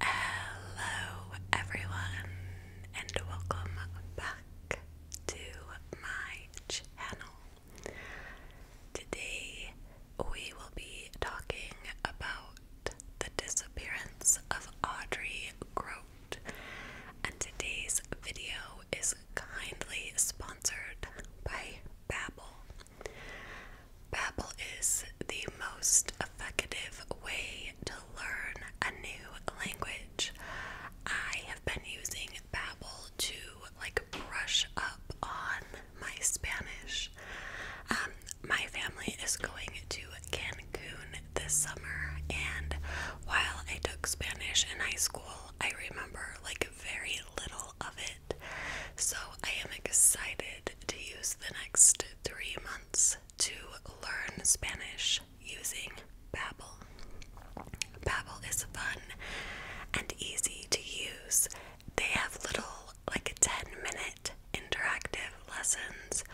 Hello, everyone, and welcome back to my channel. Today, we will be talking about the disappearance of Audrey Grote, and today's video is kindly sponsored by Babbel. Babbel is the most effective way to learn a new language. I have been using Babbel to like brush up on my Spanish. Um, my family is going to Cancun this summer, and while I took Spanish in high school, I remember like very little of it. So I am excited to use the next three months to learn Spanish using Babbel. Babbel is fun and easy to use. They have little like 10-minute interactive lessons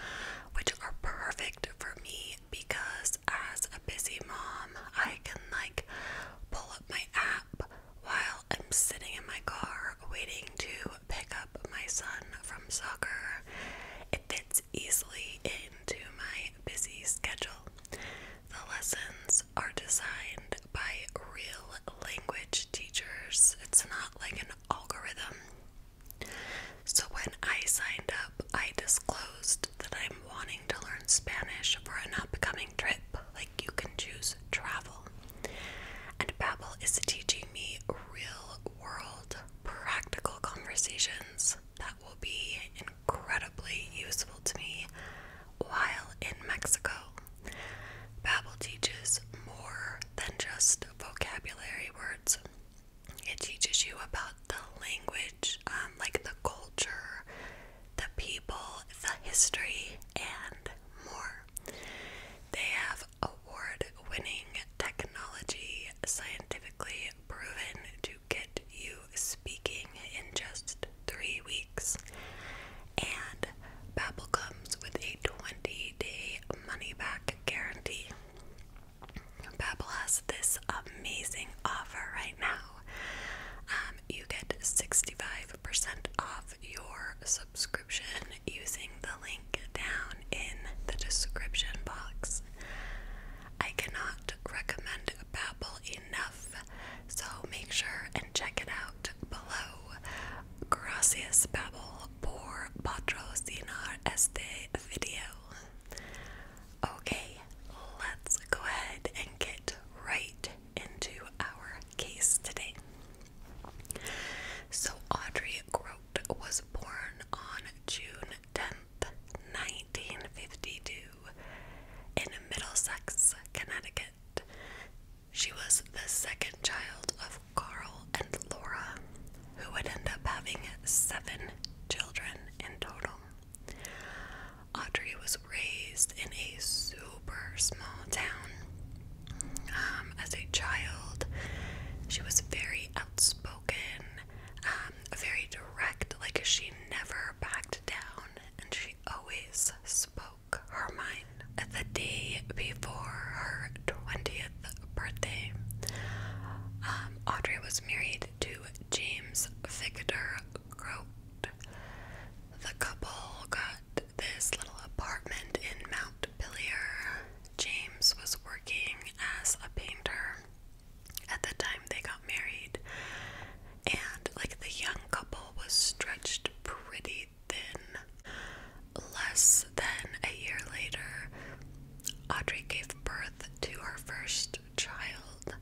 which are perfect for me because as a busy mom, I can like pull up my app while I'm sitting in my car waiting to pick up my son from soccer. It fits easily into my busy schedule. The lessons are designed by real language teachers, it's not like an algorithm. So, when I signed up, I disclosed that I'm wanting to learn Spanish for an upcoming trip. Like, you can choose travel. And Babbel is teaching me real world practical conversations that will be incredibly useful to me while in Mexico. Babel teaches more than just vocabulary words. It teaches you about the language, um, like the culture, the people, the history, and more. They have award winning technology scientifically proven to get you speaking in just three weeks. And Babbel comes with a 20 day money back guarantee. Babbel has this amazing offer right now. Um, you get 65% off your subscription using the link down in the description box. I cannot recommend Babbel enough, so make sure and check it out below. Gracias Babbel por patrocinar este video. Okay, let's go ahead and get right into our case today. So Audrey Grover was born on June 10th, 1952, in Middlesex, Connecticut. She was the second child of Carl and Laura, who would end up having seven children in total. Audrey was raised in a super small town um, as a child, she was very outspoken, um, very direct. Like she never backed down, and she always spoke her mind. the day before her twentieth birthday, um, Audrey was married to James Victor Grote. The couple got this little apartment in Mount Pillier James was working as a painter at the time they got married, and like the young couple was stretched pretty thin. Less than a year later, Audrey gave birth to her first child,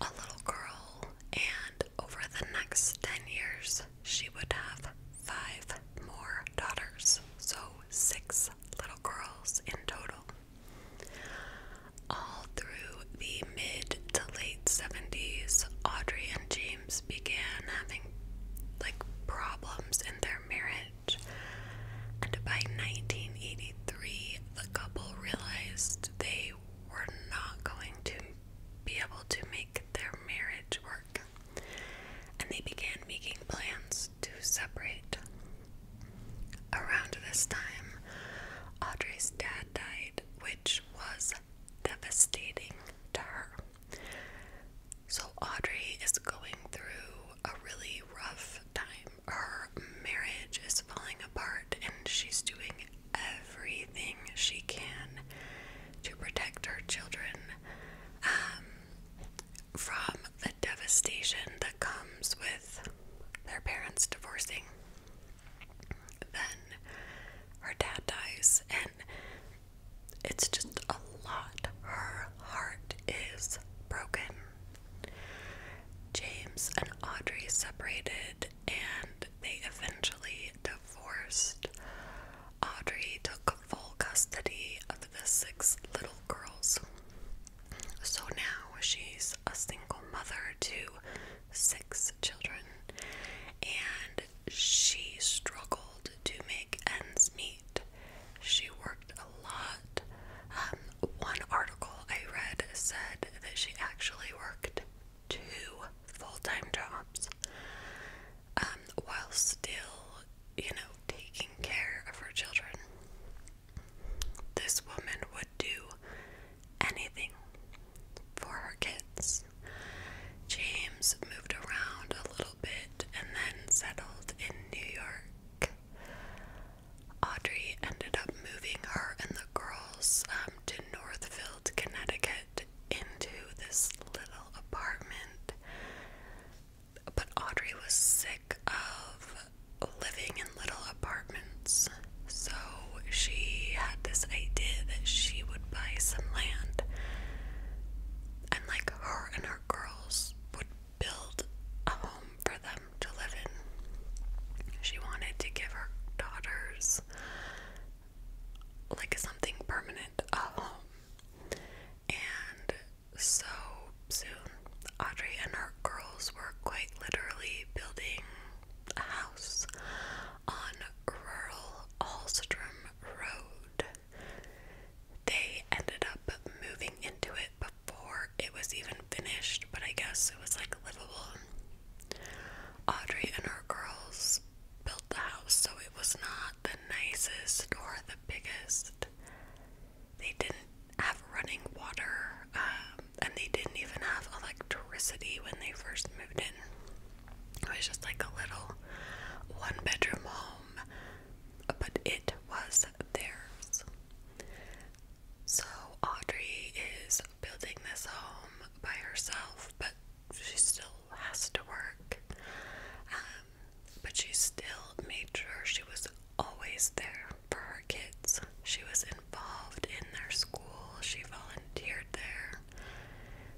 a little girl, and over the next 10 years, she would have five more daughters, so six little girls in total. All through the mid to late 70s, Audrey and James began having like problems in their marriage. And by 1983, the couple realized they were not going to be able to make their marriage work and they began making plans to separate. Around this time, Audrey's dad died, which was devastating to her. So, Audrey is going through a really rough time. Her marriage is falling apart, and she's doing everything she can to protect her children. Um, from the devastation that comes with their parents divorcing. Then her dad dies, and it's just a lot. Her heart is broken. James and Audrey separated and they eventually divorced. Audrey took full custody of the six little girls. So now she's a single mother to six children, and she struggled to make ends meet. She worked a lot. Um, one article I read said that she actually worked two full time jobs. Um, while still, you know, taking care of her children. This woman would do anything for her kids. James moved around a little bit and then settled in New York. Audrey ended up moving her and the girls um, to Northfield, Connecticut, into this little apartment but Audrey was sick of living in little apartments, so she had this idea that she would buy some land and, like, her and her girls would build a home for them to live in. She wanted to give her daughters, like, something permanent, a home. And so soon. Audrey and her girls were quite literally building a house on rural Hallstrom Road. They ended up moving into it before it was even finished, but I guess it was like livable. Audrey and her girls built the house, so it was not the nicest or the biggest. They didn't have running water, um, and they didn't even have electricity when they first moved in. It was just like a little one bedroom home, but it was theirs. So Audrey is building this home by herself, but she still has to work. Um, but she still made sure she was always there for her kids. She was involved in their school, she volunteered there.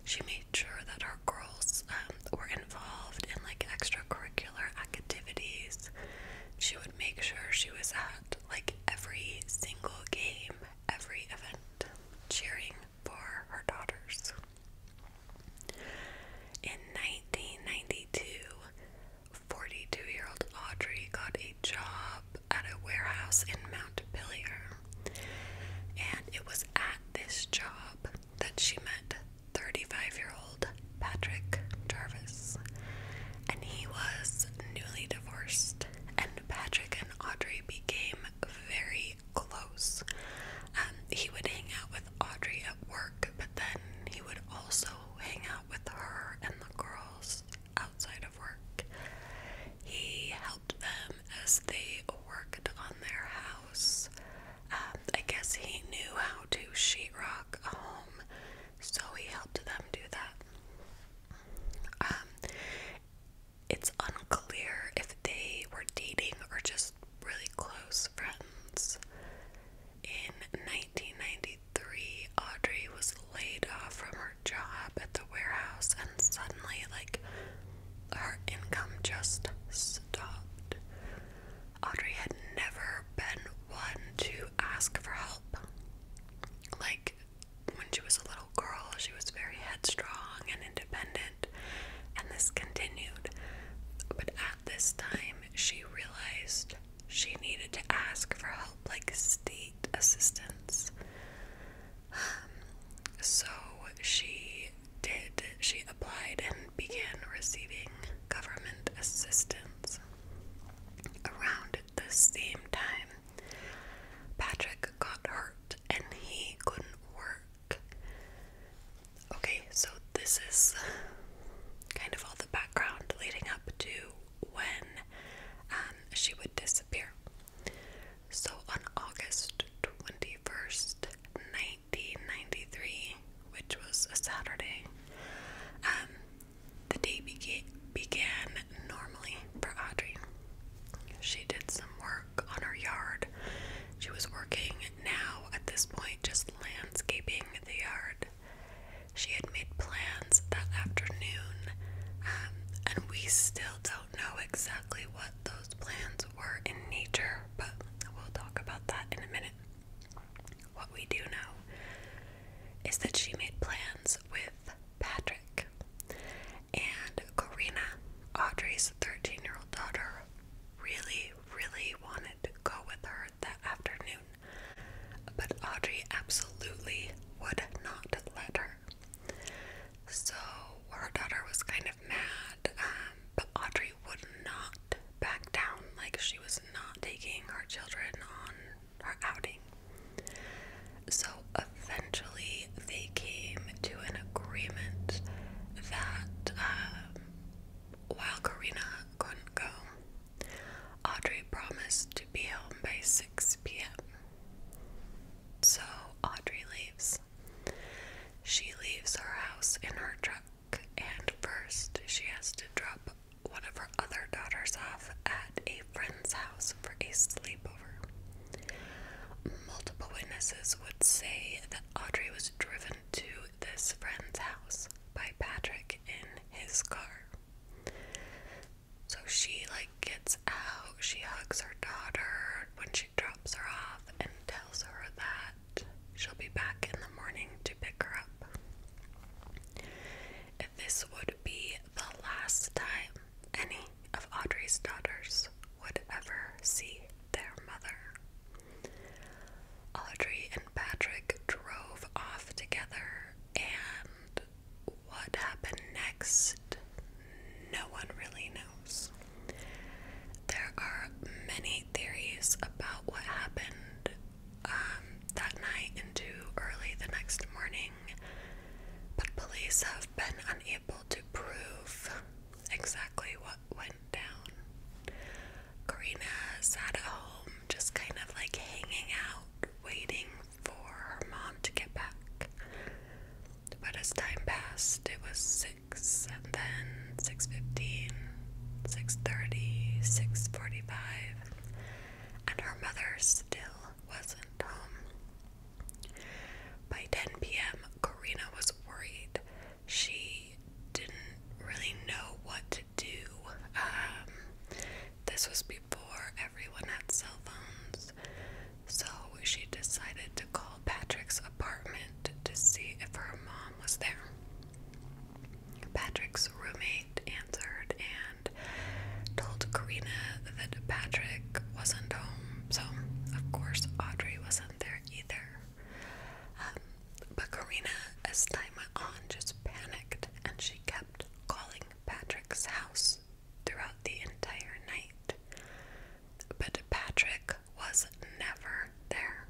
She made sure that our girls um, were involved in like extracurricular activities. She would make sure she was at like every single game, every event, cheering for her daughters. In 1992, 42 year old Audrey got a job at a warehouse in Mount Pillier, and it was at this job that she met 35 year old Patrick Jarvis. And he was newly divorced, and Patrick and Audrey became very close. Um, he would hang out Audrey at work, but then he would also hang out with her and the girls outside of work. He helped them as they worked on their house. Um, I guess he knew how to sheetrock a home, so he helped them do that. Um, it's unclear if they were dating or just really close friends. In 1993, Audrey was laid off from her job at the warehouse, and suddenly, like, her income just stopped. Audrey had never been one to ask for help. Like, when she was a little girl, she was very headstrong and independent, and this continued. But this time, she realized she needed to ask for help like state assistance. Um, so she did. She applied and began receiving government assistance. Around the same time, Patrick got hurt and he couldn't work. Okay, so this is kind of all the background leading up to when um, she would disappear. So on August 21st, 1993, which was a Saturday, um, the day began began normally for Audrey. She did some work on her yard she was working now at this point just landscaping the yard. She had made plans that afternoon, um, and we still don't know exactly what those plans were in nature, but we'll talk about that in a minute. What we do know is that she made plans with Patrick and Corina, Audrey's 13 year old daughter, really, really wanted to go with her that afternoon, but Audrey absolutely would not let her. So her daughter was kind of mad, um, but Audrey would not back down. Like she was not taking her children on her outing. So eventually they came to an agreement that um, while Corina couldn't go, Audrey promised to be home by 6 p.m. So Audrey leaves. She leaves her house in her truck, and first she has to drop one of her other daughters off at a friend's house for a sleepover. Multiple witnesses would say that Audrey was driven to this friend's house by Patrick in his car. So she like gets out, she hugs her daughter when she drops her off and tells her that she'll be back in the morning to pick her up. This would be the last time any of Audrey's daughters would ever see their mother. Audrey and Patrick drove off together, and what happened next, no one really knows. There are many theories about what happened um, that night into early the next morning, but police have been unable to prove exactly what what went down. Karina at home, just kind of like hanging out, waiting for her mom to get back. But as time passed, it was six, and then six fifteen, six thirty, six forty-five, and her mother still wasn't home. By 10 p.m., Karina was worried she didn't really know what to do. Um, this was before everyone had cell phones, so she decided to call Patrick's apartment to see if her mom was there. Patrick's roommate answered and told Karina that Patrick wasn't home, so of course Audrey wasn't there either. Um, but Karina, as time went on, just panicked and she kept calling Patrick's house throughout the entire night. But Patrick was never there.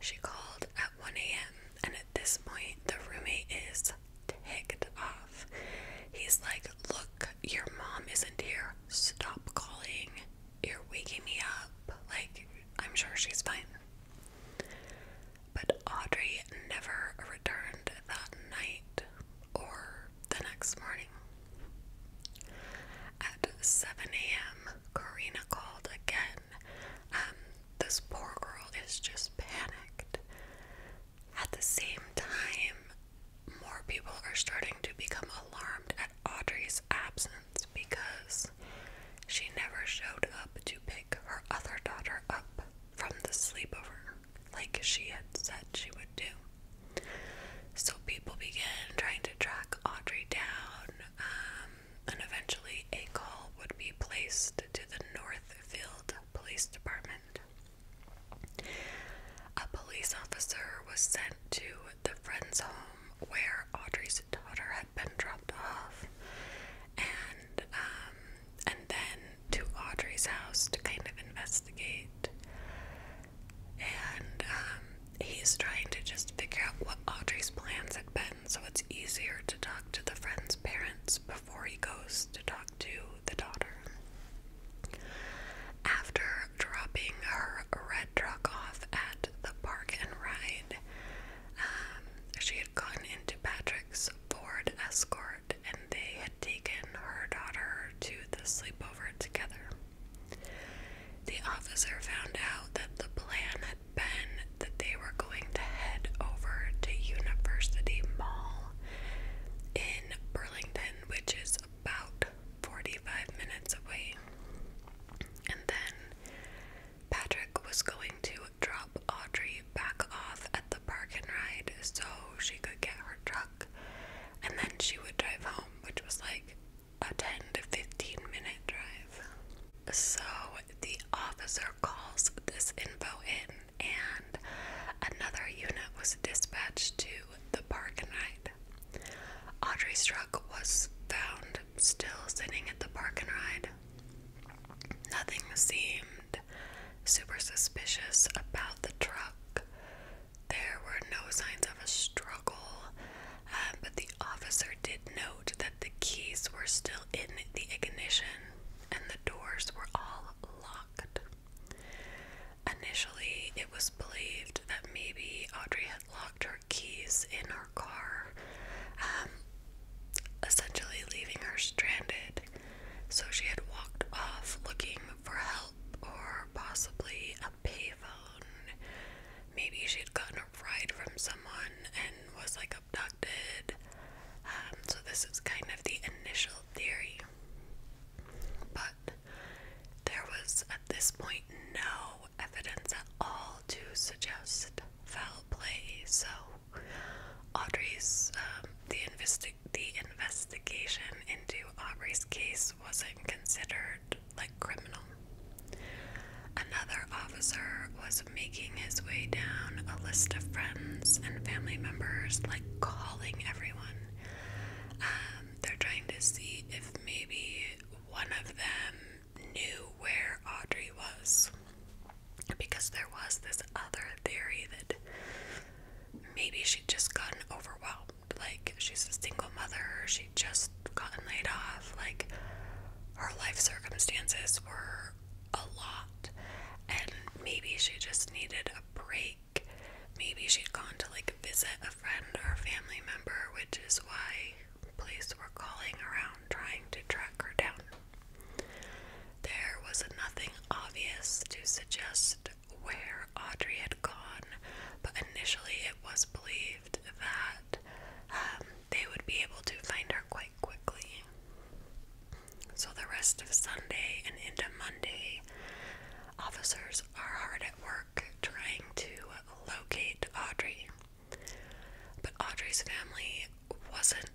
She called at 1 a.m., and at this point, the roommate is ticked off. He's like, Look, your mom isn't here. Stop calling. You're waking me up. Like, I'm sure she's fine. But Audrey never returned that night or the next morning. At 7 a.m., Karina called again. Um, this poor girl is just panicked. At the same time, more people are starting to become alarmed at Audrey's absence because she never showed up to pick her other daughter up from the sleepover like she had said she would do. So people began trying to track Audrey down, um, and eventually a call would be placed to the Northfield Police Department. A police officer was sent to the friend's home where Audrey's daughter had been dropped off, and um, and then to Audrey's house to kind of investigate. And um, he's trying to just figure out what Audrey's plans had been, so it's easier to talk to the friend's parents before he goes to talk to the daughter. After dropping her red truck off at the park and ride, um, she had gotten into Patrick's Ford Escort and they had taken her daughter to the sleepover together. The officer found out that the plan had been that they were going to head over to University Mall in Burlington, which is about 45 minutes away. And then Patrick was going to drop Audrey back off at the park and ride so she could get her truck and then she would drive home, which was like a 10 to 15 minute drive. So the officer calls this info in, and another unit was dispatched to the park and ride. Audrey's truck was found still sitting at the parking ride. Nothing seemed super suspicious about the truck. There were no signs of a struggle, um, but the officer did note that the keys were still in the ignition and the doors were all locked. Initially, it was believed that maybe Audrey locked her keys in her car, um, essentially leaving her stranded. So she had walked off looking for help or possibly a payphone. Maybe she had gotten a ride from someone and was like abducted. Um, so this is kind of the initial theory. But there was at this point no evidence at all to suggest foul play, so Audrey's um, the investi the investigation into Audrey's case wasn't considered like criminal. Another officer was making his way down a list of friends and family members, like calling everyone. Um, they're trying to see if maybe one of them knew where Audrey was. Because there was this other theory that maybe she'd just gotten overwhelmed. Like, she's a single mother, she'd just gotten laid off. Like, her life circumstances were a lot. And maybe she just needed a break. Maybe she'd gone to, like, visit a friend or a family member, which is why Police were calling around trying to track her down. There was nothing obvious to suggest where Audrey had gone, but initially it was believed that um, they would be able to find her quite quickly. So, the rest of Sunday and into Monday, officers are hard at work trying to locate Audrey. But Audrey's family wasn't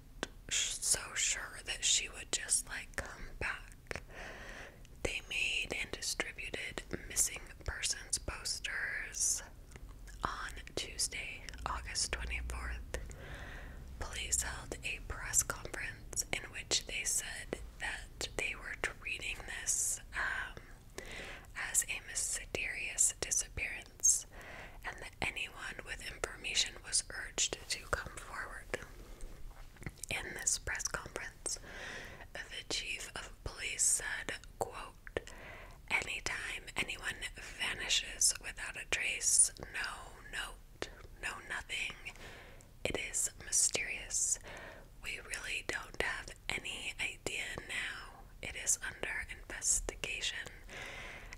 so sure that she would just like come back. They made and distributed missing persons posters on Tuesday, August 24th. Police held a press conference in which they said that they were treating this um, as a mysterious disappearance and that anyone with information was urged to come forward. In this press conference, the chief of police said, quote, Anytime anyone vanishes without a trace, no note, no nothing, it is mysterious. We really don't have any idea now it is under investigation,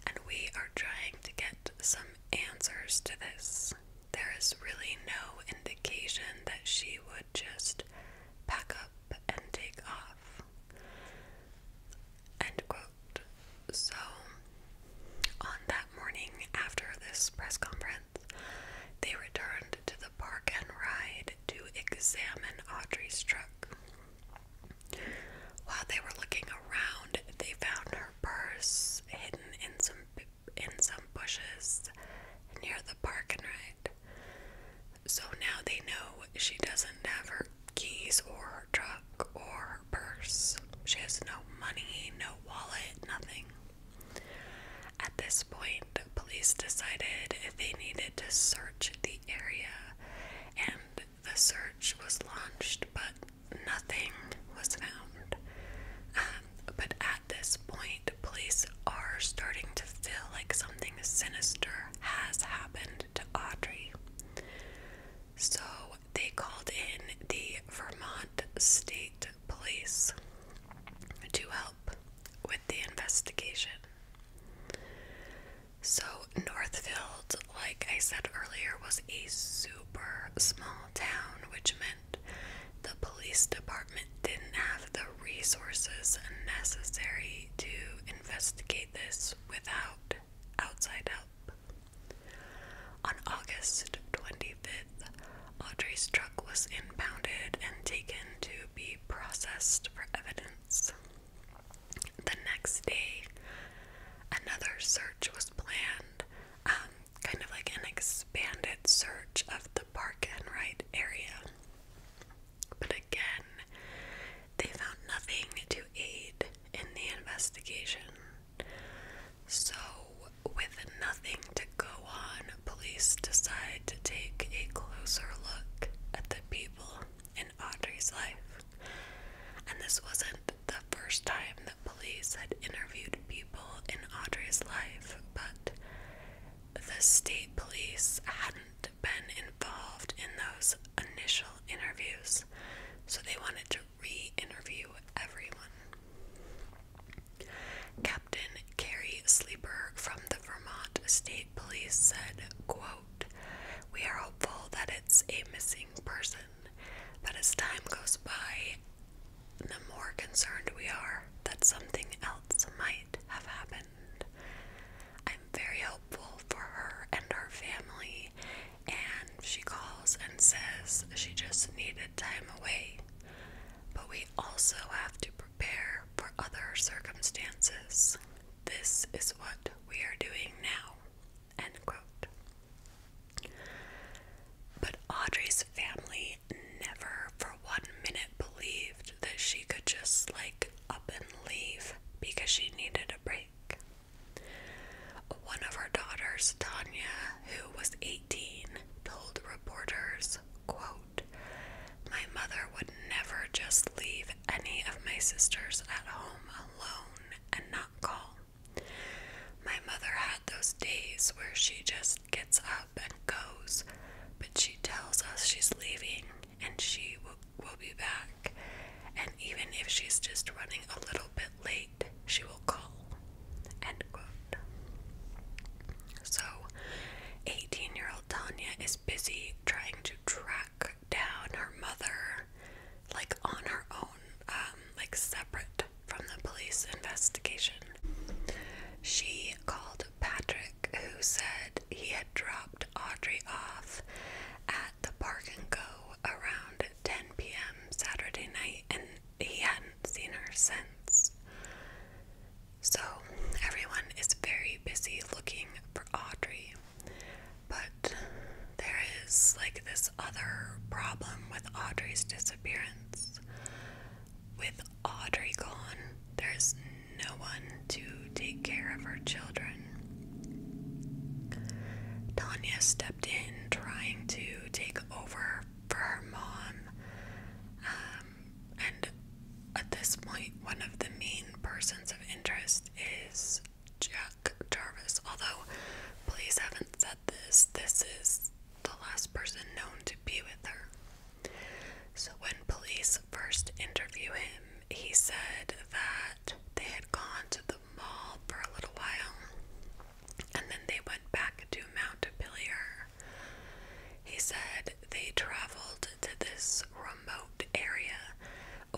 and we are trying to get some answers to this. There is really no indication that she would just pack up and take off. End quote. So, on that morning after this press conference, they returned to the park and ride to examine Audrey's truck. While they were looking around, they found her purse hidden in some in some bushes near the parking lot. So now they know she doesn't have her keys or her truck or purse. She has no money, no wallet, nothing. At this point, police decided they needed to search the area and the search was launched, but nothing was found. Um, but at this point, police are starting to feel like something sinister has happened to Audrey. So they called in the Vermont State Police to help with the investigation. So, Northfield, like I said earlier, was a super small town, which meant the police department didn't have the resources necessary to investigate this without outside help. On August 25th, Audrey's truck was impounded and taken to be processed for evidence. The next day, another search was planned, um, kind of like an expanded search of the Park and Ride area. But again, they found nothing to aid in the investigation. So, with nothing to go on, police decided to take a closer look at the people in Audrey's life. And this wasn't the first time the police had interviewed people in Audrey's life, but the state police hadn't been involved in those initial interviews, so they wanted to re interview everyone. Captain Carrie Sleeper from the Vermont State Police said, quote, we are hopeful that it's a missing person, but as time goes by, the more concerned we are that something else might have happened. I'm very hopeful for her and her family, and she calls and says she just needed time away. But we also have to prepare for other circumstances. This is what we are doing now. End quote. But Audrey's family never for one minute believed that she could just like up and leave because she needed a break. One of her daughters, Tanya, who was 18, told reporters, quote, My mother would never just leave any of my sisters at home alone and not call. My mother had those days where she just gets up and goes, but she tells us she's leaving and she will, be back. And even if she's just running a little bit late, she will call. End quote. So, 18 year old Tanya is busy trying to track down her mother like on her own, um, like separate from the police investigation. She called Patrick, who said he had dropped Audrey off at the park and go around 10 p.m. Saturday night, and he hadn't seen her since. So, everyone is very busy looking for Audrey. But there is like this other problem with Audrey's disappearance. With Audrey gone, there's no one to take care of her children. Tanya stepped in trying to take over for her mom. Um, and at this point, one of the main persons of interest is Jack Jarvis. Although police haven't said this, this is the last person known to be with her. So when police first interview him, he said that they had gone to the mall for a little while and then they went back to Mount Pillier. He said they traveled to this remote area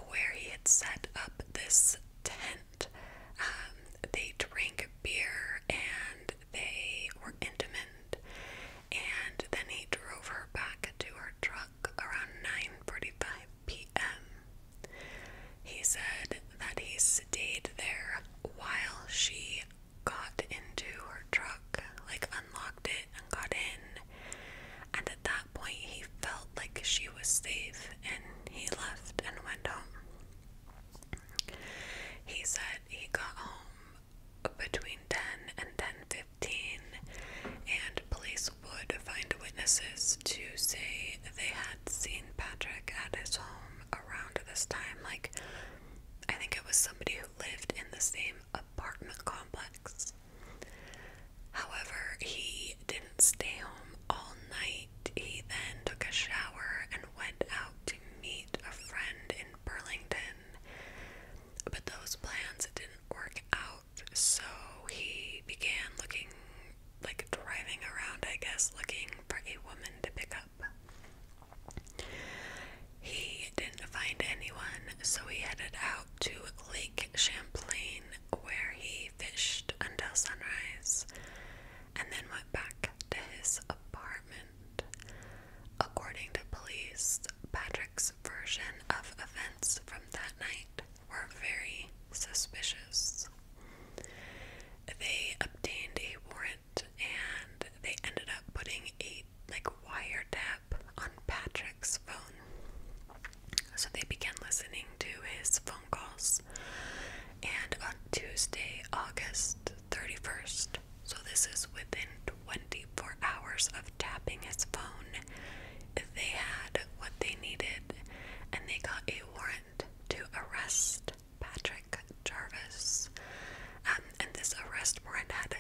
where he had set up this tent. Um, they drank beer and they were intimate. And then he drove her back to her truck around 9:45 p.m. He said that he stayed there while she got into her truck, like unlocked it, got in. And at that point, he felt like she was safe and he left and went home. He said he got home between 10 and 10:15 and police would find witnesses to say they had seen Patrick at his home around this time like I think it was somebody who lived in the same apartment complex However, he didn't stay home all night. He then took a shower and went out to meet a friend in Burlington. But those plans didn't work out, so he began looking like driving around, I guess, looking for a woman to pick up. He didn't find anyone, so he headed out to Lake Champlain where he fished until sunrise and then went back to his apartment. According to police, Patrick's version of events from that night were very suspicious. They obtained a warrant and they ended up putting a like wiretap on Patrick phone. So they began listening to his phone calls. And on Tuesday, August 31st, so this is within 24 hours of tapping his phone, they had what they needed and they got a warrant to arrest Patrick Jarvis. Um, and this arrest warrant had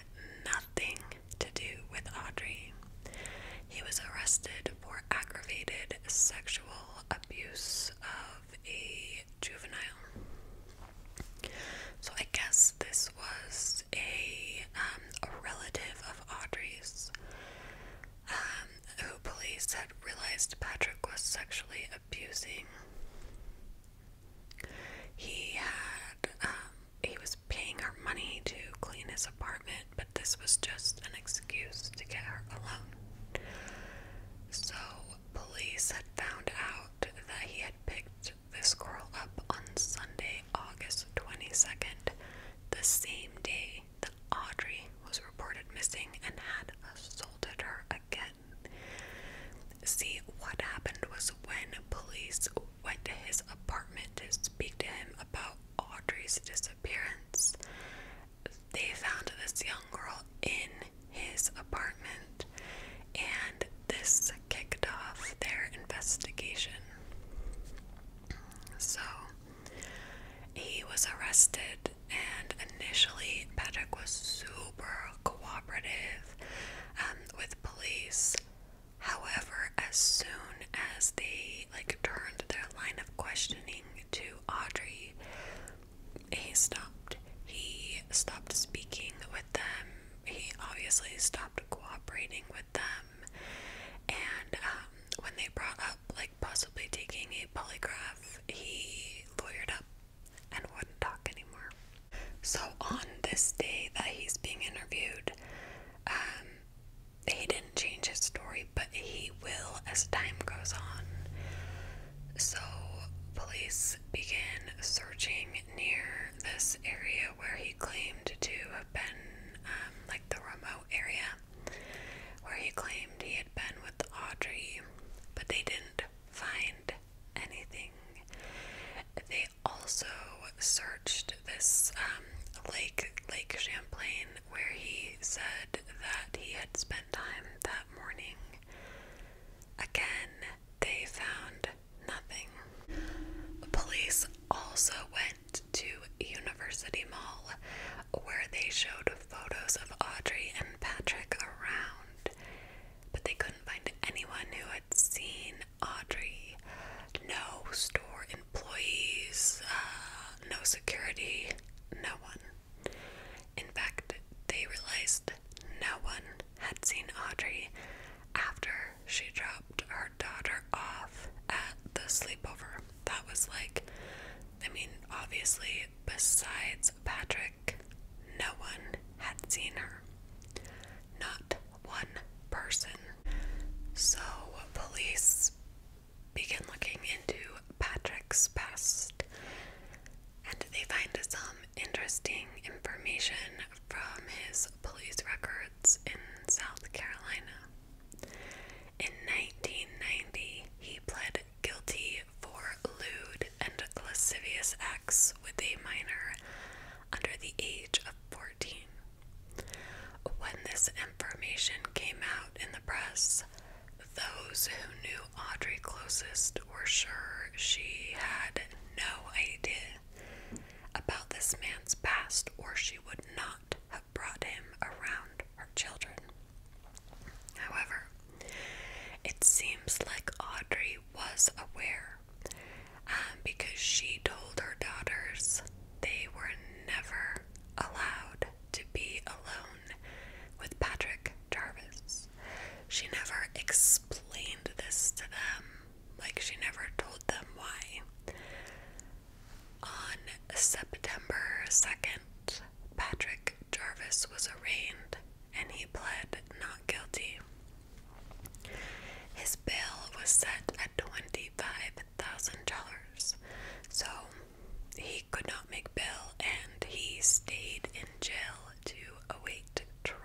nothing to do with Audrey. He was arrested for aggravated sexual abuse of a juvenile. So I guess this was a, um, relative of Audrey's um, who police had realized Patrick was sexually abusing. He had um, he was paying her money to clean his apartment, but this was just an excuse to get her alone. So, police had found out that he had picked this girl up on Sunday, August 22nd, the same day that Audrey was reported missing and had assaulted her again. See, what happened was when police went to his apartment to speak to him about Audrey's disappearance. They found this young girl in his apartment, and this kicked off their investigation. So he was arrested, and initially, Patrick was super cooperative um, with police. However, as soon as they like turned their line of questioning to Audrey, he stopped. He stopped speaking with them. He obviously stopped cooperating with them. And um, when they brought up like possibly taking a polygraph, he lawyered up and wouldn't talk anymore. So on this day that he's being interviewed, um, he didn't change his story, but he will as time goes on. So, police began searching near this area where he claimed to have been, um, like the remote area where he claimed he had been with Audrey, but they didn't find anything. They also searched this um, lake, Lake Champlain, where he said that he had spent time that morning. Again, they found nothing. The police also went to University Mall, where they showed photos of Audrey and Patrick around, but they couldn't find anyone who had seen Audrey no store employees, uh, no security, no one. In fact, they realized no one had seen Audrey after she dropped her daughter off at the sleepover. That was like, I mean, obviously, besides Patrick, no one had seen her. Not one person. So, police begin looking into Patrick's past, and they find some interesting information from his police records in South Carolina. In 1990, he pled guilty for lewd and lascivious acts with a minor under the age of 14. When this information came out in the press, those who knew Audrey closest were sure she had no idea about this man's past, or she would not have brought him around her children. However, it seems like Audrey was aware um, because she told her daughters they were never allowed to be alone with Patrick Jarvis. She never explained this to them, like, she never told them why. On September 2nd, Patrick Jarvis was arraigned and he pled not guilty. His bail was set at twenty-five. $10,000. So he could not make bail and he stayed in jail to await trial.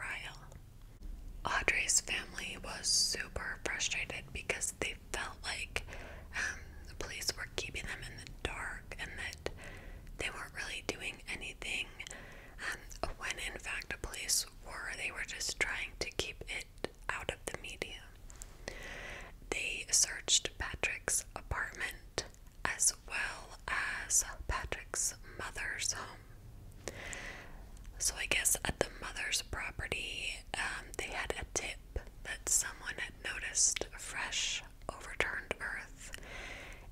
Audrey's family was super frustrated because they felt like um, the police were keeping them in the dark and that they weren't really doing anything. Um, when in fact the police were, they were just trying to keep it out of the media. They searched Patrick's apartment as well as Patrick's mother's home. So, I guess at the mother's property, um, they had a tip that someone had noticed fresh, overturned earth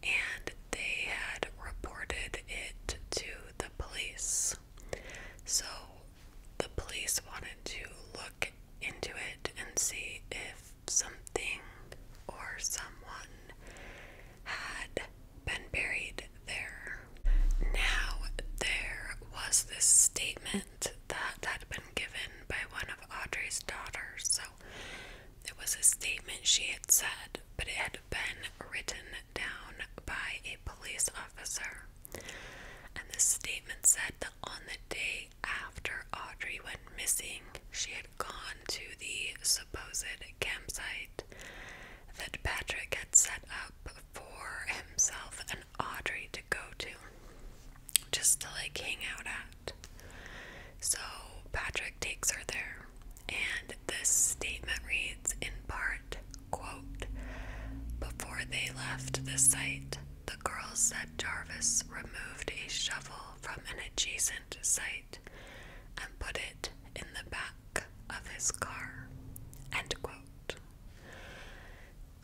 and they had reported it to the police. So, the police wanted to look into it and see if something or someone had been buried there. Now, there was this statement that had been given by one of Audrey's daughters. So, it was a statement she had said, but it had been written down by a police officer. And this statement said that on the day after Audrey went missing, she had gone to the supposed campsite that Patrick had set up for himself and Audrey to go to, just to like hang out at. So Patrick takes her there, and this statement reads in part before they left the site, the girls said Jarvis removed a shovel from an adjacent site and put it in the back of his car.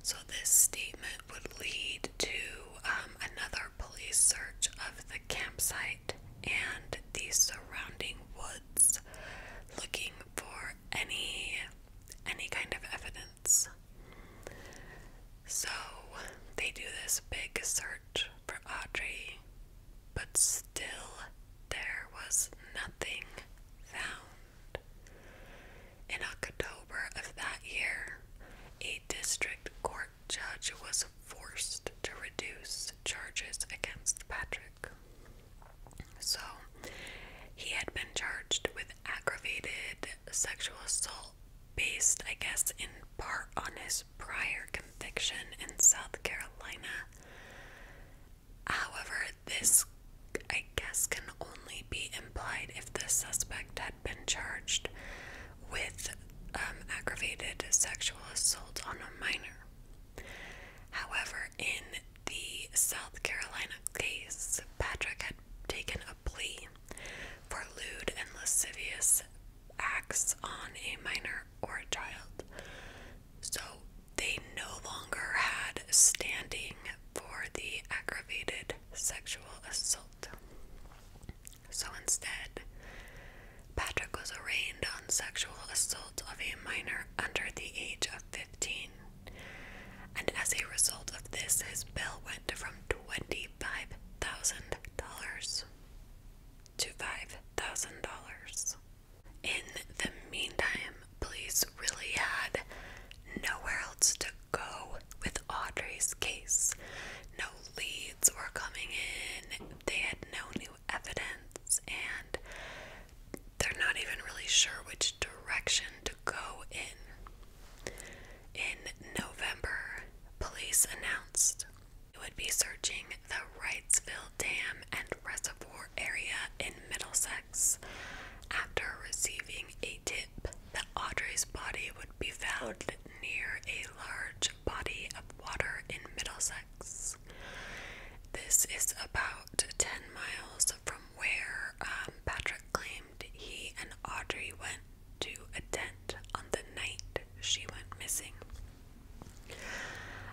So this statement would lead to um, another police search of the campsite and the surrounding woods, looking for any any kind of evidence so they do this big search for Audrey, but still there was nothing found. In October of that year, a district court judge was forced to reduce charges against Patrick. So he had been charged with aggravated sexual assault based, I guess, in part on his prior conviction in South Carolina. However, this, I guess, can only be implied if the suspect had been charged with um, aggravated sexual assault on a minor. However, in the South Carolina case, Patrick had taken a plea for lewd and lascivious acts on a minor or a child. So they no longer had standing for the aggravated sexual assault. So instead, Patrick was arraigned on sexual assault of a minor under the age of 15. And as a result of this, his bill went from $25,000 to $5,000. In the meantime, police really had nowhere else to go with Audrey's case. No leads were coming in, they had no new evidence, and they're not even really sure which direction to go in. In November, police announced it would be searching the Wrightsville Dam and Reservoir area in Middlesex after receiving a tip that Audrey's body would be found near a large body of water in Middlesex. This is about 10 miles from where um, Patrick claimed he and Audrey went to a tent on the night she went missing.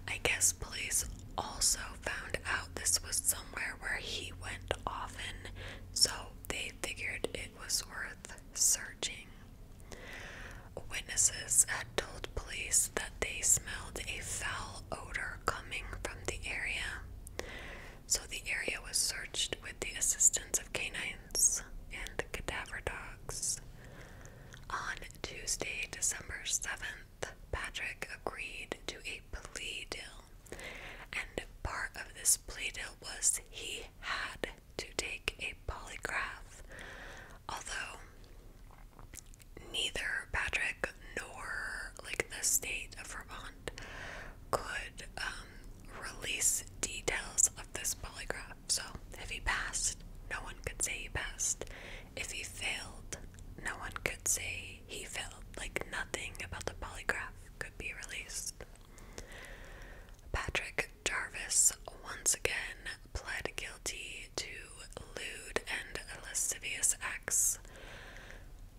I guess police also found out this was somewhere where he went often, so they figured it was worth searching. Witnesses had told police that they smelled a foul odor coming from the area so the area was searched with the assistance of canines and cadaver dogs. On Tuesday, December 7th, Patrick agreed to a plea deal, and part of this plea deal was he had to take a polygraph, although neither Patrick nor like the state of Vermont, could um, release details of this polygraph. So if he passed, no one could say he passed. If he failed, no one could say he failed. Like nothing about the polygraph could be released. Patrick Jarvis once again pled guilty to lewd and lascivious acts.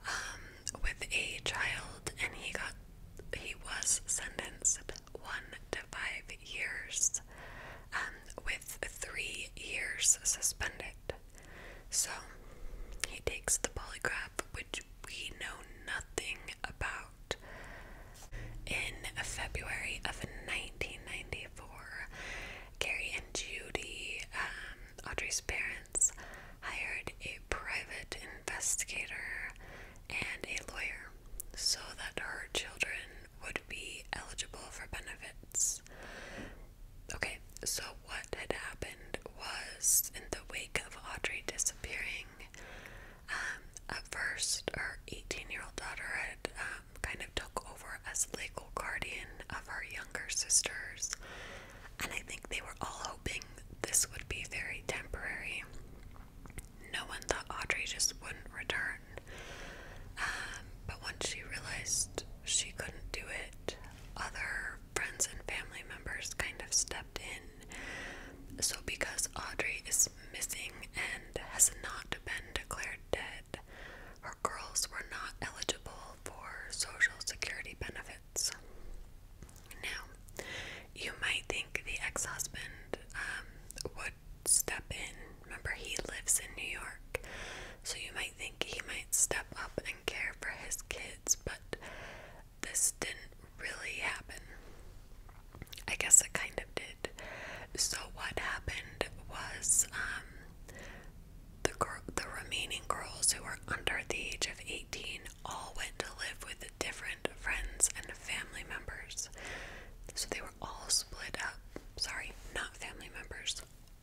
Um, with a child, and he got he was sentenced one to five years, um, with three years suspended. So he takes the polygraph, which we know nothing about. In February of 1994, Gary and Judy, um, Audrey's parents hired a private investigator and a lawyer so that her children would be eligible for benefits. Okay, so what had happened was in the wake of Audrey disappearing, um, at first her 18 year old daughter had um, kind of took over as legal guardian of her younger sisters and I think they were all hoping this would be very temporary. No one thought Audrey just wouldn't return. Um, but once she realized she couldn't do it, other friends and family members kind of stepped in. So, because Audrey is missing and has not been declared dead, her girls were not eligible for Social Security benefits words. Now, you might think the ex husband um, would step in. Remember, he lives in New York, so you might think he might step up and care for his kids, but this didn't really happen. I guess it kind of did. So, what happened was um, the, girl, the remaining girls who were under the age of 18 all went to live with different friends and family members. So they were all split up. Sorry, not family members,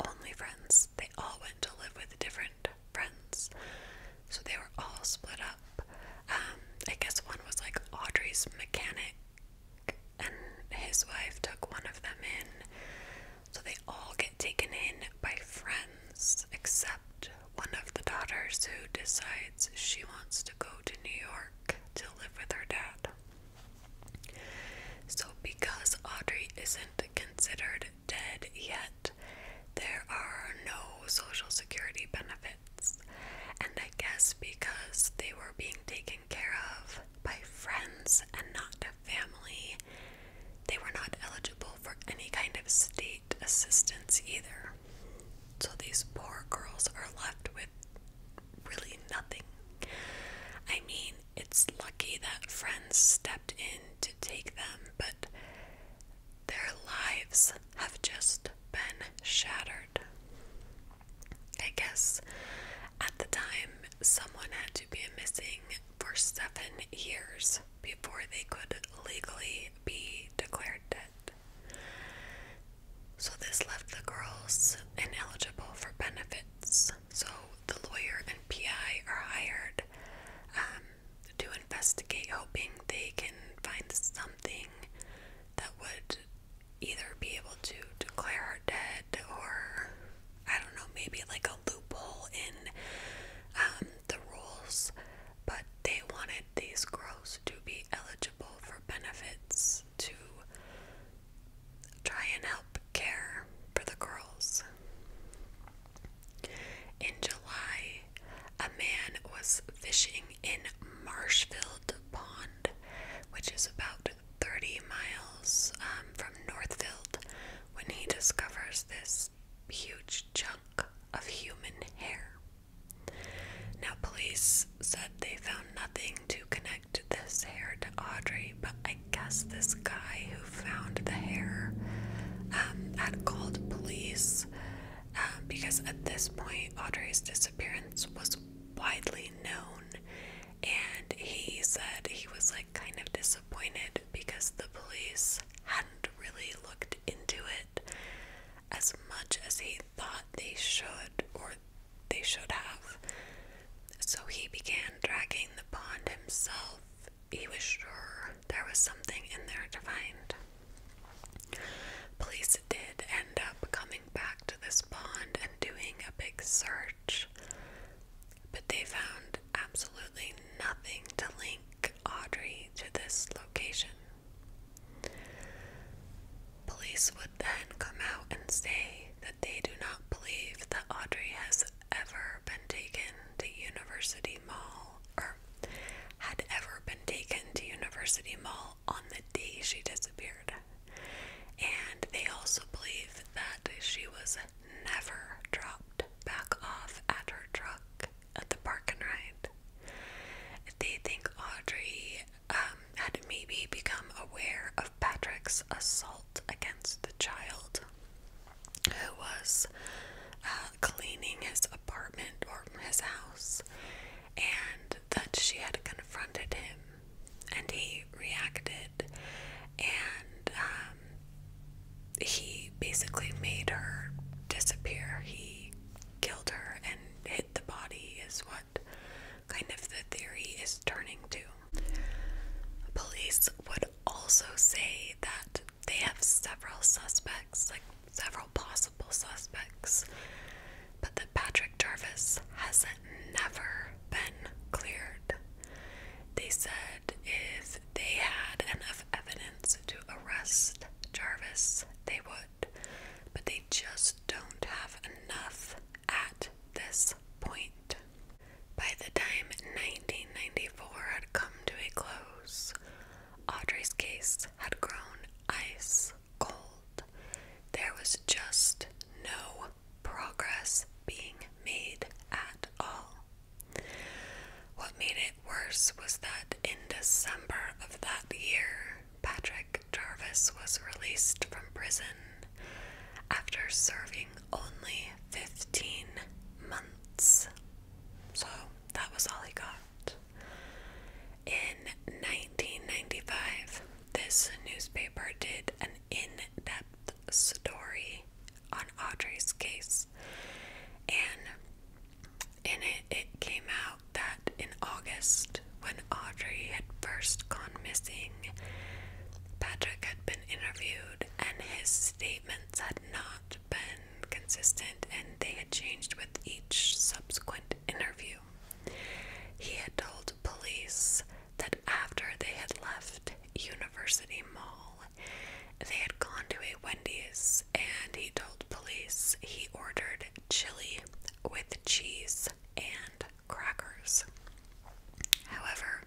only friends. They all went to live with different friends. So they were all split up. Um, I guess one was like Audrey's mechanic, and his wife took one of them in. So they all get taken in by friends, except one of the daughters who decides she wants to go to New York to live with her dad. So, because Audrey isn't considered dead yet, there are no social security benefits. And I guess because they were being taken care of by friends and not family, they were not eligible for any kind of state assistance either. So these poor girls are left with really nothing. I mean, it's lucky that friends stepped in to take them, but their lives have just been shattered. I guess at the time, someone had to be a missing for seven years before they could legally be declared dead. So, this left the girls ineligible for benefits. So, the lawyer and PI are hired um, to investigate, hoping they can find something that would either be able to declare her dead or, I don't know, maybe like a loophole in um, the rules, but they wanted these girls to be eligible for benefits to try and help care for the girls. In July, a man was fishing in Marshfield Pond, which is about 30 miles um, from Northfield, when he discovers this huge chunk of human hair. Now, police said they found nothing to connect this hair to Audrey, but I guess this guy who found the hair um, had called police um, because at this point Audrey's disappearance was widely known, and he said he was like kind of disappointed disappointed because the police hadn't really looked into it as much as he thought they should or they should have. So he began dragging the pond himself. He was sure there was something in there to find. Police did end up coming back to this pond and doing a big search, but they found absolutely nothing to link Audrey to this location. Police would then come out and say that they do not believe that Audrey has ever been taken to University Mall or had ever been taken to University Mall on the day she disappeared. And they also believe that she was never dropped back off at her truck at the park and ride. They think Audrey um, had maybe become aware of Patrick's assault against the child who was uh, cleaning his apartment or his house and that she had confronted him and he reacted and uh, um, he basically made her disappear. He killed her and hid the body, is what kind of the theory is turning to. Police would also say that they have several suspects, like several possible suspects, but that Patrick Jarvis has never been cleared. They said if they had enough evidence to arrest Jarvis, they would, but they just don't have enough at this point. By the time 1994 had come to a close, Audrey's case had grown ice cold. There was just no progress being made at all. What made it worse was that in December of that year, Patrick Jarvis was released from prison after serving only 15 months. So that was all he got. In 1995, this newspaper did an in depth story on Audrey's case. And in it, it came out that in August, when Audrey had first gone missing, Patrick had been interviewed and his statements had not been consistent and they had changed with each subsequent interview. He had told police that after they had left University Mall, they had gone to a Wendy's and he told police he ordered chili with cheese and crackers. However,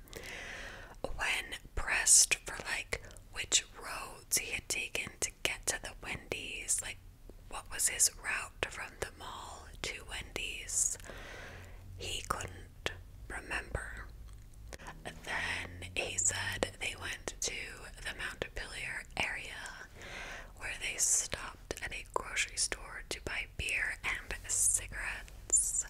when pressed for like which roads he had taken to get to the Wendy's, like what was his route from the mall to Wendy's, he couldn't remember. Then he said they went to the Mount Pillar area where they stopped at a grocery store to buy beer and cigarettes.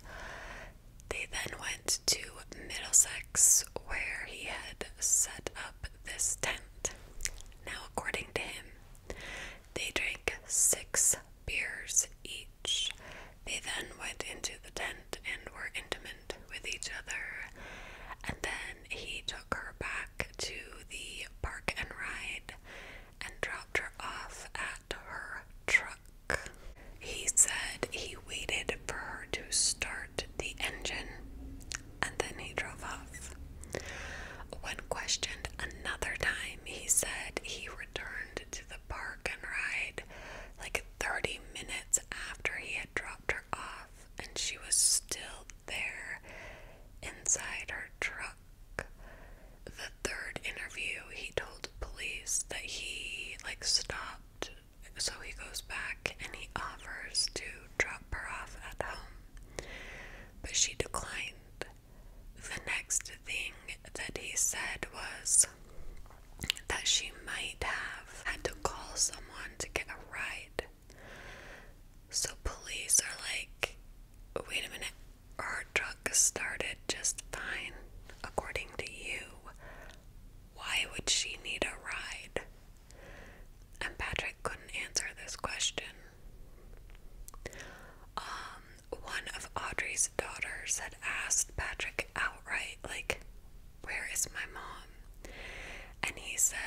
They then went to Middlesex where he had set up this tent. Now, according to him, they drank six beers each. They then went into the tent and were intimate with each other. And then he took her back to the park and ride and dropped her off at her truck. He said he waited for her to start the engine and then he drove off. When questioned another time, he said he returned to the park and ride like 30 minutes after he had dropped her off and she was still there inside her truck. The third interview, he told police that he like stopped, so he goes back and he offers to drop her off at home, but she declined. The next thing that he said was, that she might have had to call someone to get a ride. So police are like, wait a minute, our truck started just fine, according to you. Why would she need a ride? And Patrick couldn't answer this question. Um, one of Audrey's daughters had asked Patrick outright, like, where is my mom? And he said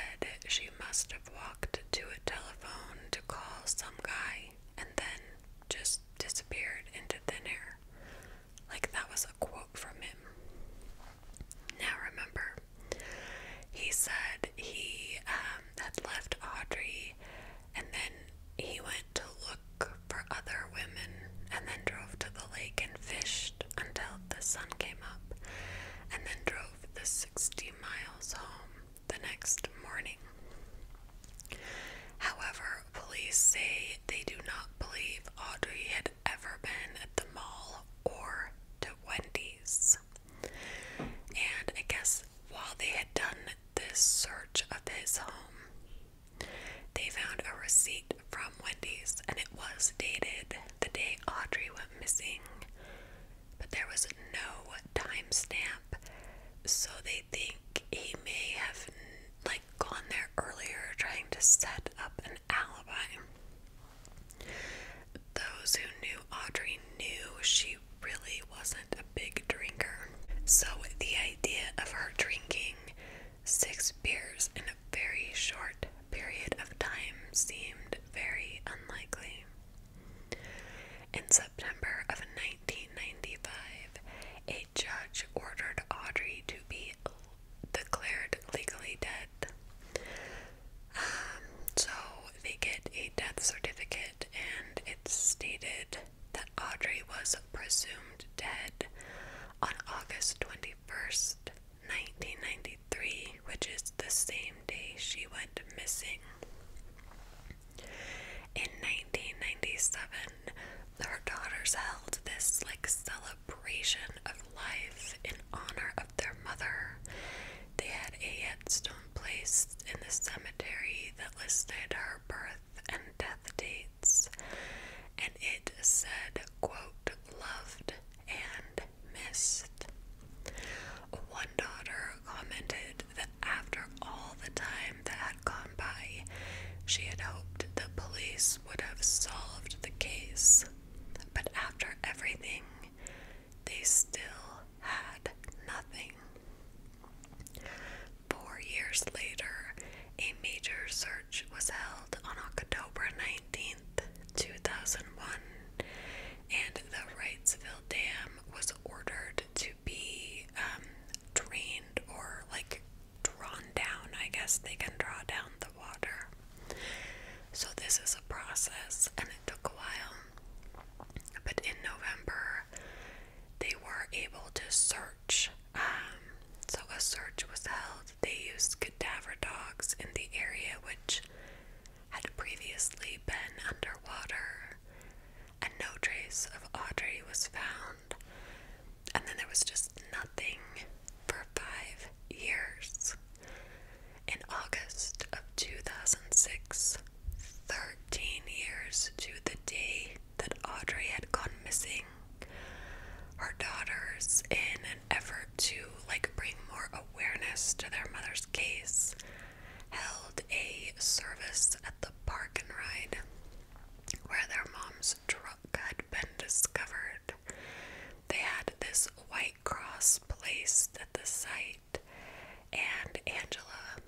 she must have walked to a telephone to call some guy and then just disappeared into thin air. Like that was a quote from him. Now remember, he said he um, had left Audrey and then he went to look for other women and then drove to the lake and fished until the sun came up, and then drove the sixty miles home the next morning. However, police say they do not believe Audrey had ever been at the mall or to Wendy's. And I guess while they had done this search of his home, they found a receipt from Wendy's, and it was dated the day Audrey went missing, but there was no timestamp, so they think he may have like gone there earlier, trying to set up an alibi. Those who knew Audrey knew she really wasn't a big drinker, so the idea of her drinking six beers in a very short period of time seemed very unlikely. In September of 1995, a judge ordered Audrey to be declared legally dead. Um, so they get a death certificate, and it's stated that Audrey was presumed dead on August 21st, 1993, which is the same day she went missing. In 1997, her daughters held this like celebration of life in honor of their mother. They had a headstone placed in the cemetery that listed her birth and death dates, and it said, quote, loved and missed. One daughter commented that after all the time that had gone by, she had hoped the police would have solved the case, but after everything, they still had nothing. Four years later, a major search was held on October nineteenth. 2001, and the Wrightsville Dam was ordered to be um, drained or like drawn down. I guess they can draw down the water. So, this is a process, and it took a while. But in November, they were able to search. Um, so, a search was held they used cadaver dogs in the area which had previously been underwater, and no trace of Audrey was found. And then there was just nothing for five years. In August of 2006, 13 years to the day that Audrey had gone missing, her daughters, in effort to like bring more awareness to their mother's case, held a service at the park and ride where their mom's truck had been discovered. They had this white cross placed at the site, and Angela,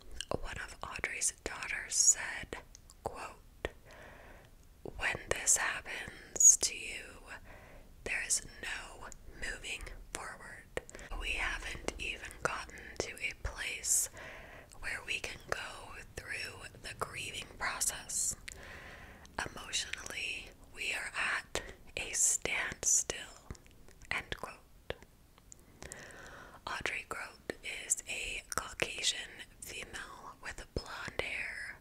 one of Audrey's daughters, said, quote, when this happens to you, there is no moving forward. We haven't even gotten to a place where we can go through the grieving process. Emotionally, we are at a standstill. End quote. Audrey Grote is a Caucasian female with blonde hair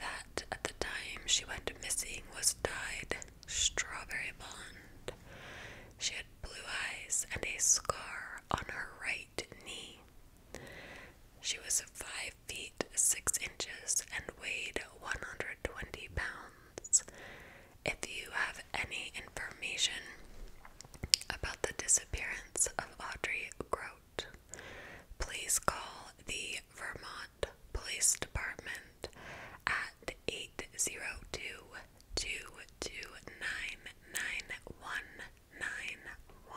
that at the time she went missing was dyed strawberry blonde. She had blue eyes and a scar on her right knee. She was five feet six inches and weighed 120 pounds. If you have any information about the disappearance of Audrey Grote, Please call the Vermont Police Department at 802 229 9191.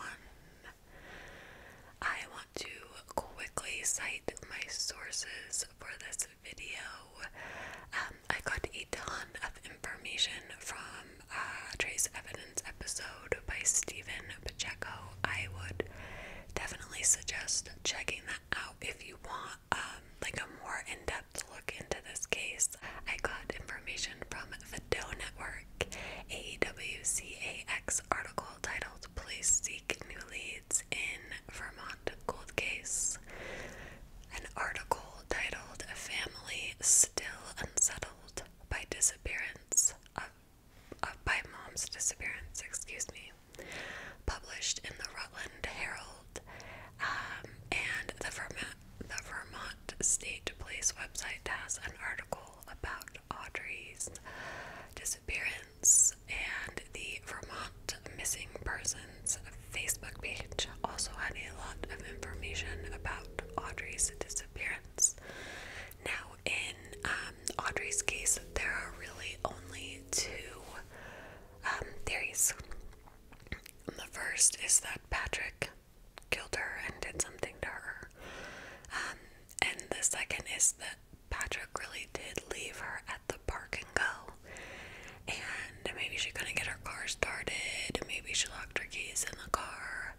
I want to quickly cite my sources for this video. Um, I got a ton of information from uh, Trace Evidence episode by Stephen Pacheco. I would definitely suggest checking that out if you want um, like a more in-depth look into this case. I got information from the Doe Network, a article titled "Police Seek New Leads in Vermont Gold Case." An article titled "A "Family Still Unsettled by Disappearance of uh, by mom's disappearance, excuse me, published in the Rutland Herald um, and the Vermont, the Vermont State Police website has an article about Audrey's disappearance, and the Vermont Missing Persons Facebook page also had a lot of information about Audrey's disappearance. Now, in um, Audrey's case, there are really only two um, theories. The first is that Patrick killed her and did something to her, um, and the second is that Patrick really did leave her at the park and go. And maybe she couldn't get her car started, maybe she locked her keys in the car,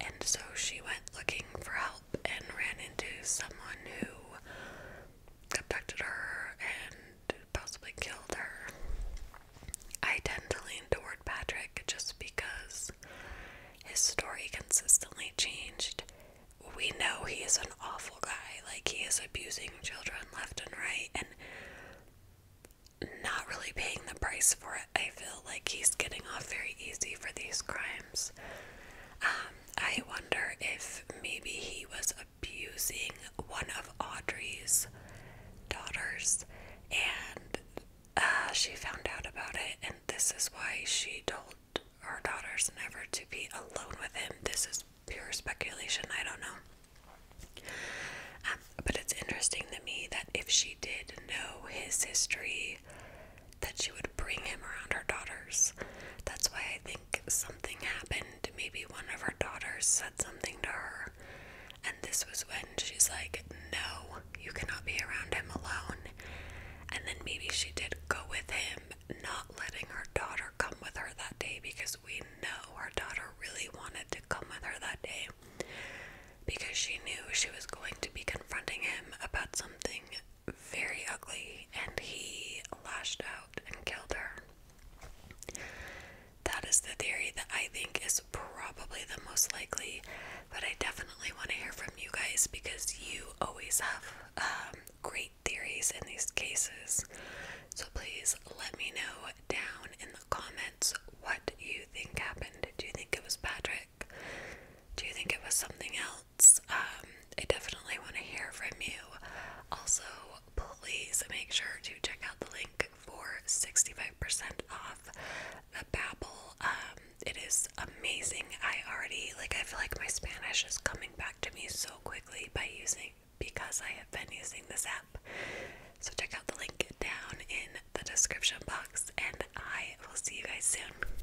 and so she went looking for help and ran into someone who abducted her and possibly killed her. I tend to lean toward Patrick just because his story consistently changed. We know he is an awful guy, like, he is abusing children left and right, and not really paying the price for it. I feel like he's getting off very easy for these crimes. Um, I wonder if maybe he was abusing one of Audrey's daughters and uh, she found out about it, and this is why she told her daughters never to be alone with him. This is pure speculation, I don't know. Um, but it's interesting to me that if she did know his history that she would bring him around her daughters. That's why I think something happened. Maybe one of her daughters said something to her, and this was when she's like, No, you cannot be around him alone. And then maybe she did go with him, not letting her daughter come with her that day because we know her daughter really wanted to come with her that day because she knew she was going to be confronting him about something very ugly and he lashed out and killed her. That is the theory that I think is probably the most likely, but I definitely want to hear from you guys because you always have um, great theories in these cases. So please let me know down in the comments what you think happened. Do you think it was Patrick? Do you think it was something else? Um, I definitely want to hear from you. Also, please make sure to check out the link for 65% off the Babbel. Um, it is amazing. I already like I feel like my Spanish is coming back to me so quickly by using because I have been using this app. So check out the link down in the description box and I will see you guys soon.